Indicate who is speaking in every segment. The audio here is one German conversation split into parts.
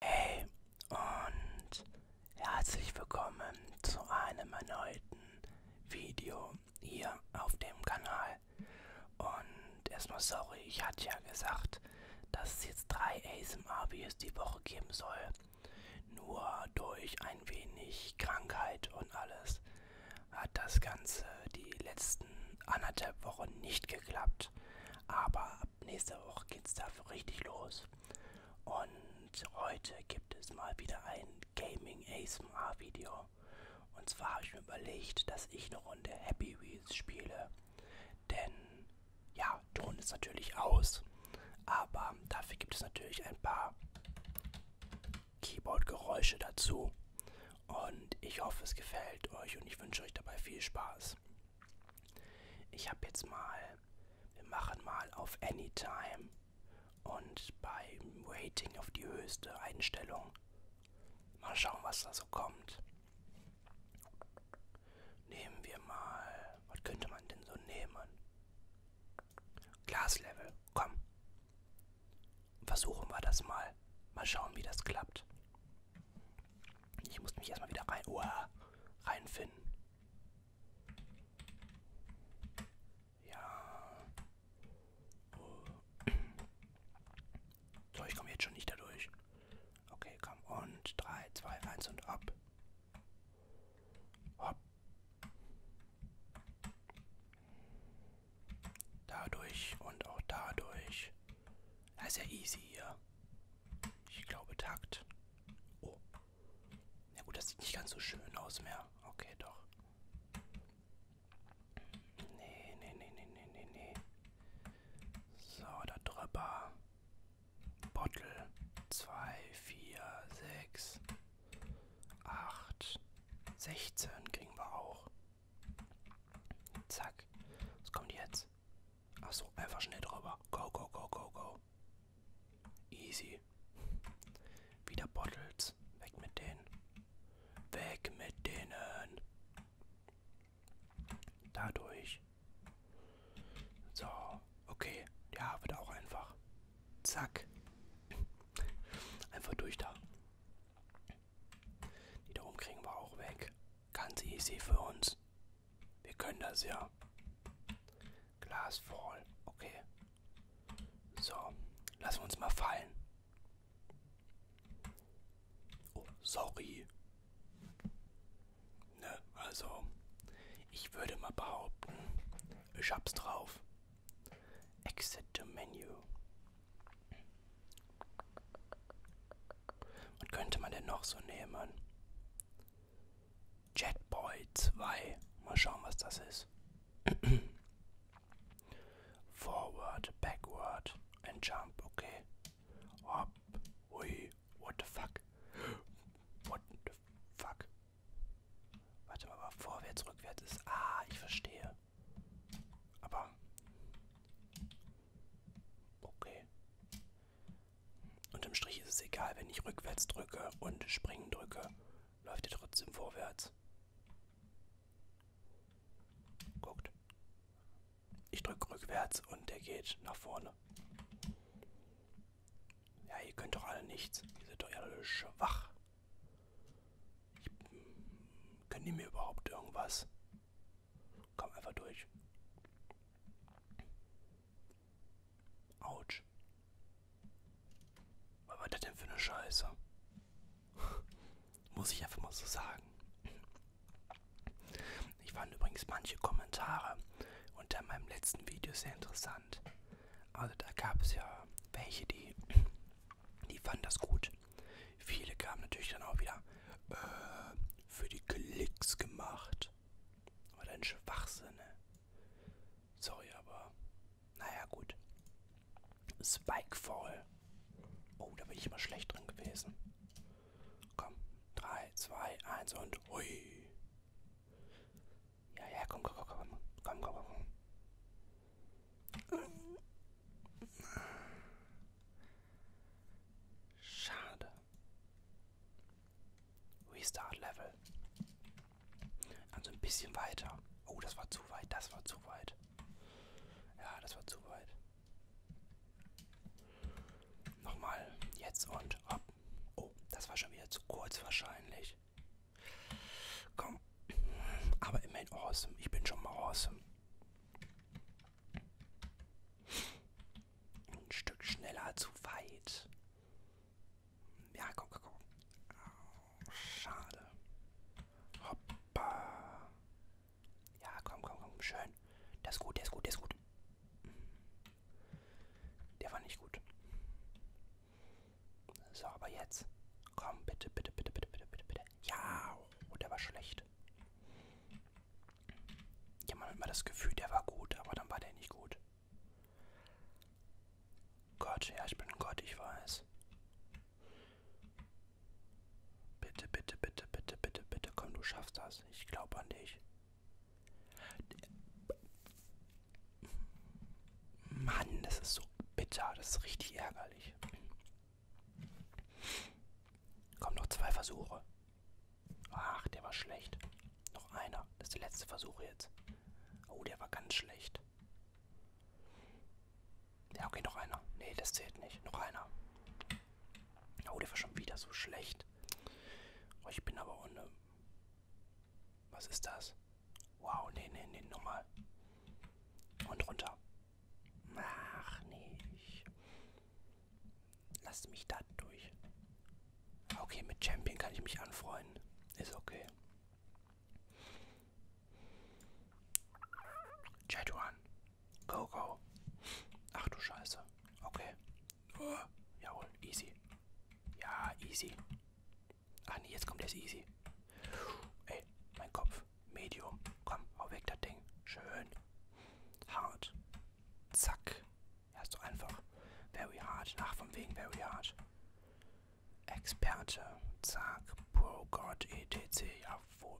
Speaker 1: Hey und herzlich willkommen zu einem erneuten Video hier auf dem Kanal. Und erstmal sorry, ich hatte ja gesagt, dass es jetzt drei ASMR-Videos die Woche geben soll. Nur durch ein wenig Krankheit und alles hat das Ganze die letzten anderthalb Wochen nicht geklappt gehabt. Aber ab nächster Woche geht's dafür richtig los. Und heute gibt es mal wieder ein Gaming ASMR Video. Und zwar habe ich mir überlegt, dass ich eine Runde Happy Wheels spiele. Denn ja, Ton ist natürlich aus. Aber dafür gibt es natürlich ein paar Keyboard-Geräusche dazu. Und ich hoffe, es gefällt euch und ich wünsche euch dabei viel Spaß. Ich habe jetzt mal, wir machen mal auf Anytime und beim Rating auf die höchste Einstellung. Mal schauen, was da so kommt. Nehmen wir mal, was könnte man denn so nehmen? Glaslevel, komm. Versuchen wir das mal. Mal schauen, wie das klappt. Ich muss mich erstmal wieder rein. Oh, reinfinden. Ja. Oh. So, ich komme jetzt schon nicht dadurch. Okay, komm. Und 3, 2, 1 und ab. Hopp. Dadurch und auch dadurch. Das ist ja easy hier. Ich glaube Takt. Oh. Na ja gut, das sieht nicht ganz so schön aus mehr. Okay, doch. Nee, nee, nee, nee, nee, nee, nee. So, da drüber. Bottle. 2, 4, 6, 8, 16 kriegen wir auch. Zack. Was kommt jetzt? Achso, einfach schnell drüber. Go, go, go, go, go. Easy. Wieder Bottles. Weg mit denen. Weg mit denen. Dadurch. So, okay. Ja, wird auch einfach. Zack. Einfach durch da. Die da oben kriegen wir auch weg. Ganz easy für uns. Wir können das ja. Glasfall. Okay. So. Lassen wir uns mal fallen. Oh, sorry. Ne, also. Ich würde mal behaupten, ich hab's drauf. Exit to Menu. Und könnte man denn noch so nehmen? Jetboy 2. Mal schauen, was das ist. Forward, backward and jump. Okay. Hop. Ui. What the fuck? What the fuck? Warte mal, aber vorwärts, rückwärts ist. Ah, ich verstehe. Aber. Okay. Unterm Strich ist es egal, wenn ich rückwärts drücke und springen drücke, läuft er trotzdem vorwärts. Guckt. Ich drücke rückwärts und der geht nach vorne. Ja, ihr könnt doch alle nichts. Ihr seid doch alle schwach. Ich, hm, können die mir überhaupt irgendwas? Komm einfach durch. Autsch. Was war das denn für eine Scheiße? Muss ich einfach mal so sagen. Ich fand übrigens manche Kommentare unter meinem letzten Video sehr interessant. Also da gab es ja welche, die, die fanden das gut. Viele kamen natürlich dann auch wieder äh, für die Klicks gemacht. Gott. Aber dein Schwachsinne. Ne? Sorry, aber. Naja, gut. Spikefall. Oh, da bin ich immer schlecht drin gewesen. Komm. 3, 2, 1 und. Ui. Ja, ja, komm, komm, komm, komm. Komm, komm, komm. Schade. Restart Level. Also ein bisschen weiter. Oh, das war zu weit, das war zu weit. Ja, das war zu weit. Nochmal, jetzt und ab. Oh, das war schon wieder zu kurz wahrscheinlich. Komm. Aber immerhin awesome. Ich bin schon mal awesome. Ein Stück schneller zu weit. Ja, komm, komm, komm. Oh, schade. Hoppa. Ja, komm, komm, komm. Schön. Das ist gut, der ist gut, der ist gut. Mhm. Der war nicht gut. So, aber jetzt. Komm, bitte, bitte, bitte, bitte, bitte, bitte, bitte. Ja, oh, der war schlecht. Ja, man hat immer das Gefühl, der war gut, aber dann war der nicht gut. Gott, ja, ich bin Gott, ich weiß. Bitte, bitte, bitte, bitte, bitte, bitte, komm, du schaffst das. Ich glaube an dich. Mann, das ist so bitter, das ist richtig ärgerlich. Komm, noch zwei Versuche. Ach, der war schlecht. Noch einer. Das ist der letzte Versuch jetzt. Oh, der war ganz schlecht. Ja, okay, noch einer. Nee, das zählt nicht. Noch einer. Oh, der war schon wieder so schlecht. Oh, ich bin aber ohne. Was ist das? Wow, nee, nee, nee, nochmal. Und runter. Ach, nee. Lasst mich da durch. Okay, mit Champion kann ich mich anfreunden. Ist okay. Jetuan. Go, go. Ach du Scheiße. Okay. Uh, jawohl, easy. Ja, easy. Ach nee, jetzt kommt das easy. Ey, mein Kopf. Medium. Komm, hau weg das Ding. Schön. Hart. Zack. Ja, ist doch einfach. Very hard. Nach von wegen very hard. Experte. Zack. Pro God EDC. Jawohl.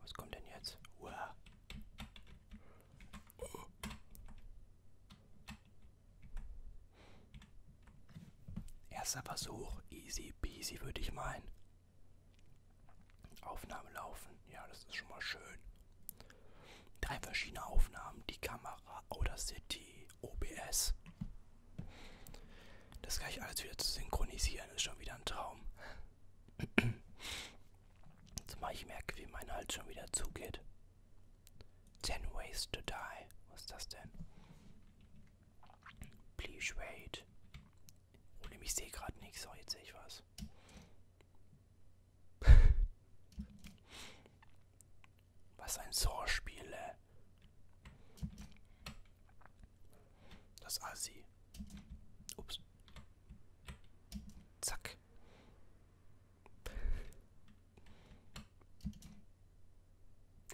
Speaker 1: Was kommt denn jetzt? Wow. Oh. Erster Versuch. Easy peasy würde ich meinen. Aufnahme laufen. Ja, das ist schon mal schön. Drei verschiedene Aufnahmen, die Kamera, Audacity, OBS. Das gleich alles wieder zu synchronisieren, ist schon wieder ein Traum. Jetzt mache ich merke, wie mein Hals schon wieder zugeht. 10 Ways to Die. Was ist das denn? Please wait. Ohne mich sehe gerade nichts. So, jetzt sehe ich was. was ein Sorspiel, ey. Das Assi. Ups. Zack.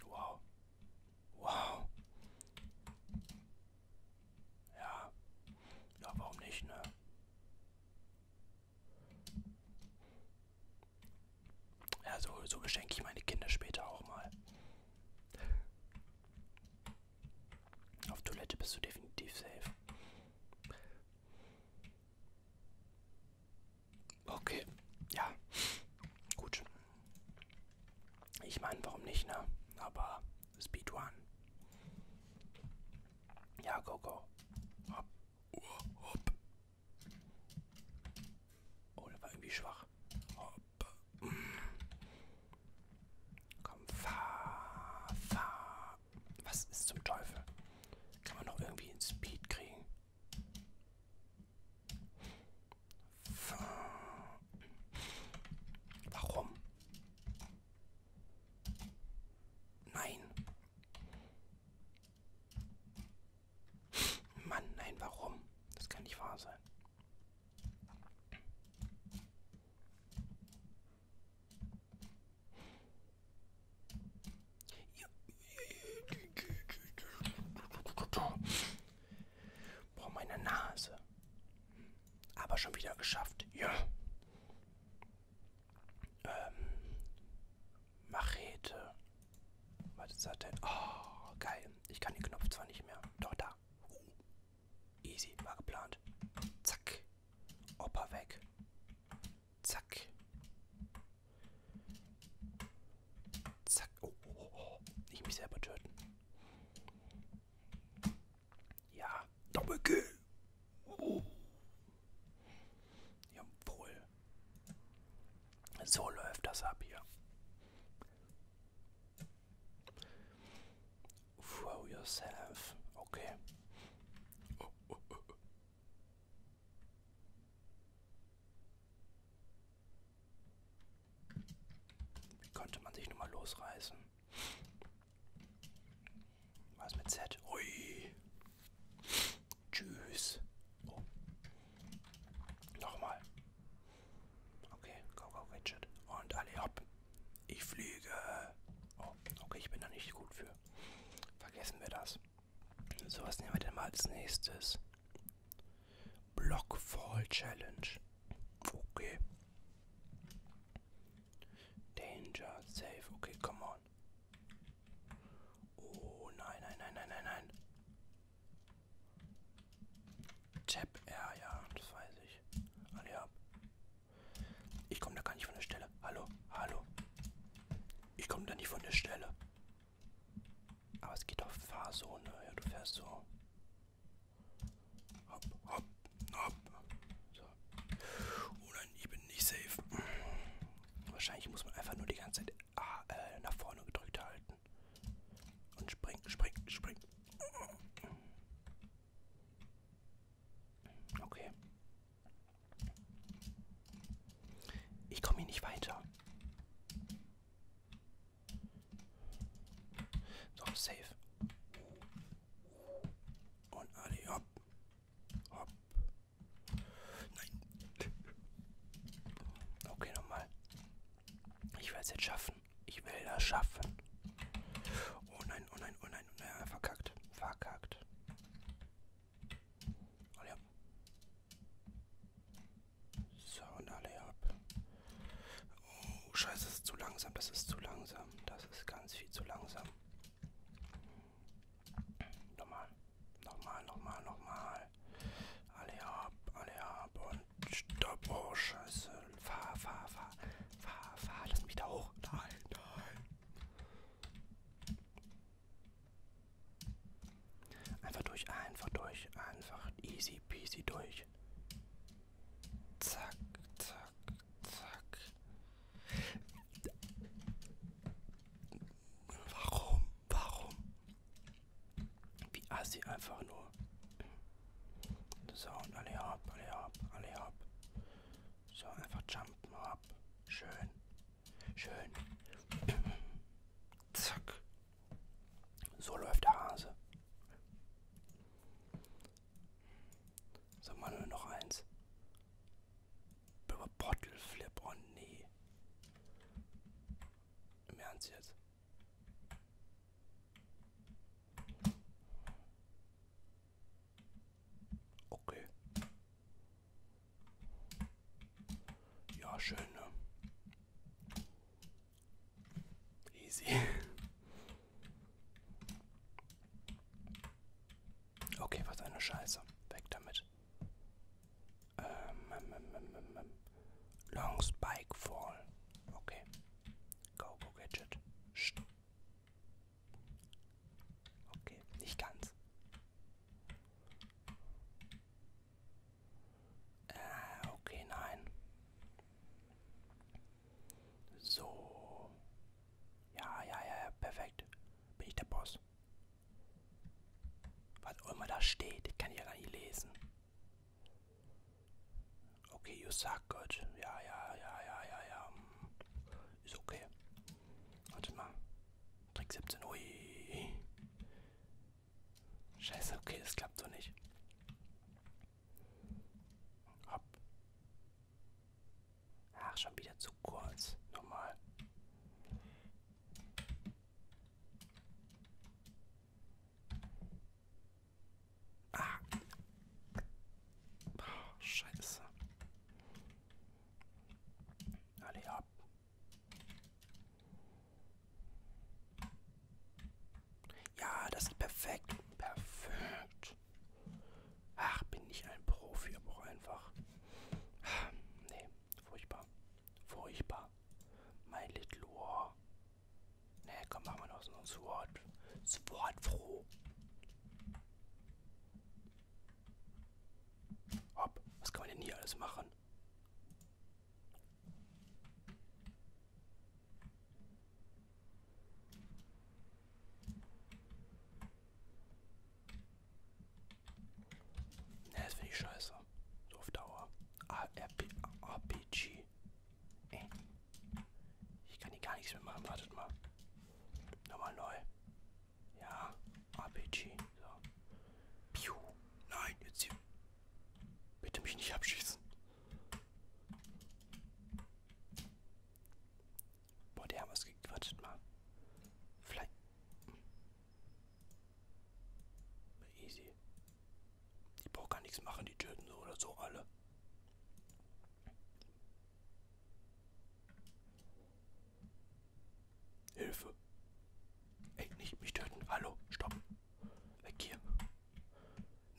Speaker 1: Wow. Wow. Ja. Ja, warum nicht, ne? Ja, so, so beschenke ich meine Kinder später auch mal. Auf Toilette bist du definitiv safe. Okay, ja. Gut. Ich meine, warum nicht, ne? Aber Speedrun. Ja, go, go. Hopp. Uh, hopp. Oh, der war irgendwie schwach. Hopp. Komm, fahr, fahr. Was ist zum Teufel? Kann man noch irgendwie in Speed kriegen? Fahr. Warum? Nein. Mann, nein, warum? Das kann nicht wahr sein. Boah, meine Nase. Hm. Aber schon wieder geschafft. Ja. Ähm. Machete. Was ist das denn? Oh, geil. Ich kann den Knopf zwar nicht mehr. Doch, da. Uh. Easy. War geplant. Zack. Opa weg. Zack. Zack. Oh, oh, oh. Nicht oh. mich selber töten. Ja, Doppelkill. Oh. Jawohl. So läuft das ab hier. Throw yourself. Okay. Oh, oh, oh. Wie konnte man sich nur mal losreißen? Was mit Z? Ui. Tschüss. Oh. Nochmal. Okay, go, go, Gadget. Und alle hopp. Ich fliege. Oh, okay, ich bin da nicht gut für. Vergessen wir das. So, was nehmen wir denn mal als nächstes? Blockfall Challenge. Okay. Danger, safe, okay, come on. Oh nein, nein, nein, nein, nein, nein. Tap R, ja, das weiß ich. Alle ab. Ich komme da gar nicht von der Stelle. Hallo, hallo. Ich komme da nicht von der Stelle. Aber es geht auf Fahrzone. Ja, du fährst so. Hopp, hopp, hopp. So. Oh nein, ich bin nicht safe. Wahrscheinlich muss man einfach nur die ganze Zeit ah, äh, nach vorne gedrückt halten. Und springen, springen, springen. Okay. Ich komme hier nicht weiter. So, safe. Und alle hopp. Hopp. Nein. Okay, nochmal. Ich will es jetzt schaffen. Ich will das schaffen. Oh nein, oh nein, oh nein. Oh ja, verkackt. Verkackt. Alle hopp. So, und alle hopp. Oh, scheiße, das ist zu langsam, das ist zu langsam. Das ist ganz viel zu langsam. Nochmal, nochmal, nochmal, nochmal. Alle ab, alle ab und stopp. Oh, scheiße. Fahr, fahr, fahr, fahr, fahr. Lass mich da hoch. Nein, nein. Einfach durch, einfach durch, einfach easy peasy durch. Zack, zack zack. Warum? Warum? Wie assi einfach nur. So, und alle ab, alle ab, alle ab. So, einfach jumpen ab. Schön. Schön. Zack. So läuft der Hase. Sag mal nur noch eins. Bottle Flip, oh nee. Im Ernst jetzt. Okay. Ja, schön, ne? Easy. Okay, was eine Scheiße. Weg damit. Ähm, ähm, ähm, ähm, Long Spike Fall. Okay. Go, go, Gadget. St okay, nicht ganz. Äh, okay, nein. So. Ja, ja, ja, perfekt. Bin ich der Boss. Was auch immer da steht, kann ich ja gar nicht lesen. Okay, you suck, gut. Ja, ja, ja, ja, ja, ja. Ist okay. Warte mal. Trick 17, ui. Scheiße, okay, das klappt so nicht. Hopp. Ach, schon wieder zu kurz. Nochmal. Ah. Oh, scheiße. Alle ab. Ja, das ist perfekt. Perfekt. Ach, bin ich ein Profi, aber auch einfach. Ach, nee, furchtbar. Furchtbar. Mein Little War. Ne, komm, machen wir noch so ein Sword. Sword froh. Hopp, was kann man denn hier alles machen? Ne, das finde ich scheiße. So auf Dauer. ARP, RPG. Ey. Äh. Ich kann hier gar nichts mehr machen. Wartet mal. Nochmal neu. Ja, RPG. So. Piu. Nein, jetzt hier. Bitte mich nicht abschießen. Boah, die haben was gekriegt. Wartet mal. Vielleicht. Easy. Die braucht gar nichts machen, die töten so oder so alle. Hilfe. Ey, nicht mich töten. Hallo, stopp. Weg hier.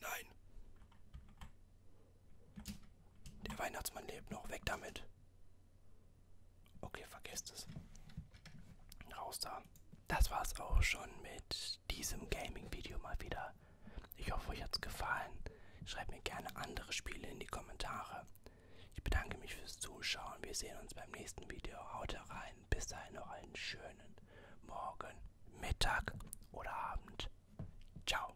Speaker 1: Nein. Der Weihnachtsmann lebt noch. Weg damit. Okay, vergesst es. Raus da. Das war's auch schon mit diesem Gaming-Video mal wieder. Ich hoffe, euch hat's gefallen. Schreibt mir gerne andere Spiele in die Kommentare. Ich bedanke mich fürs Zuschauen. Wir sehen uns beim nächsten Video. Haut rein. Bis dahin noch einen schönen Morgen, Mittag oder Abend. Ciao.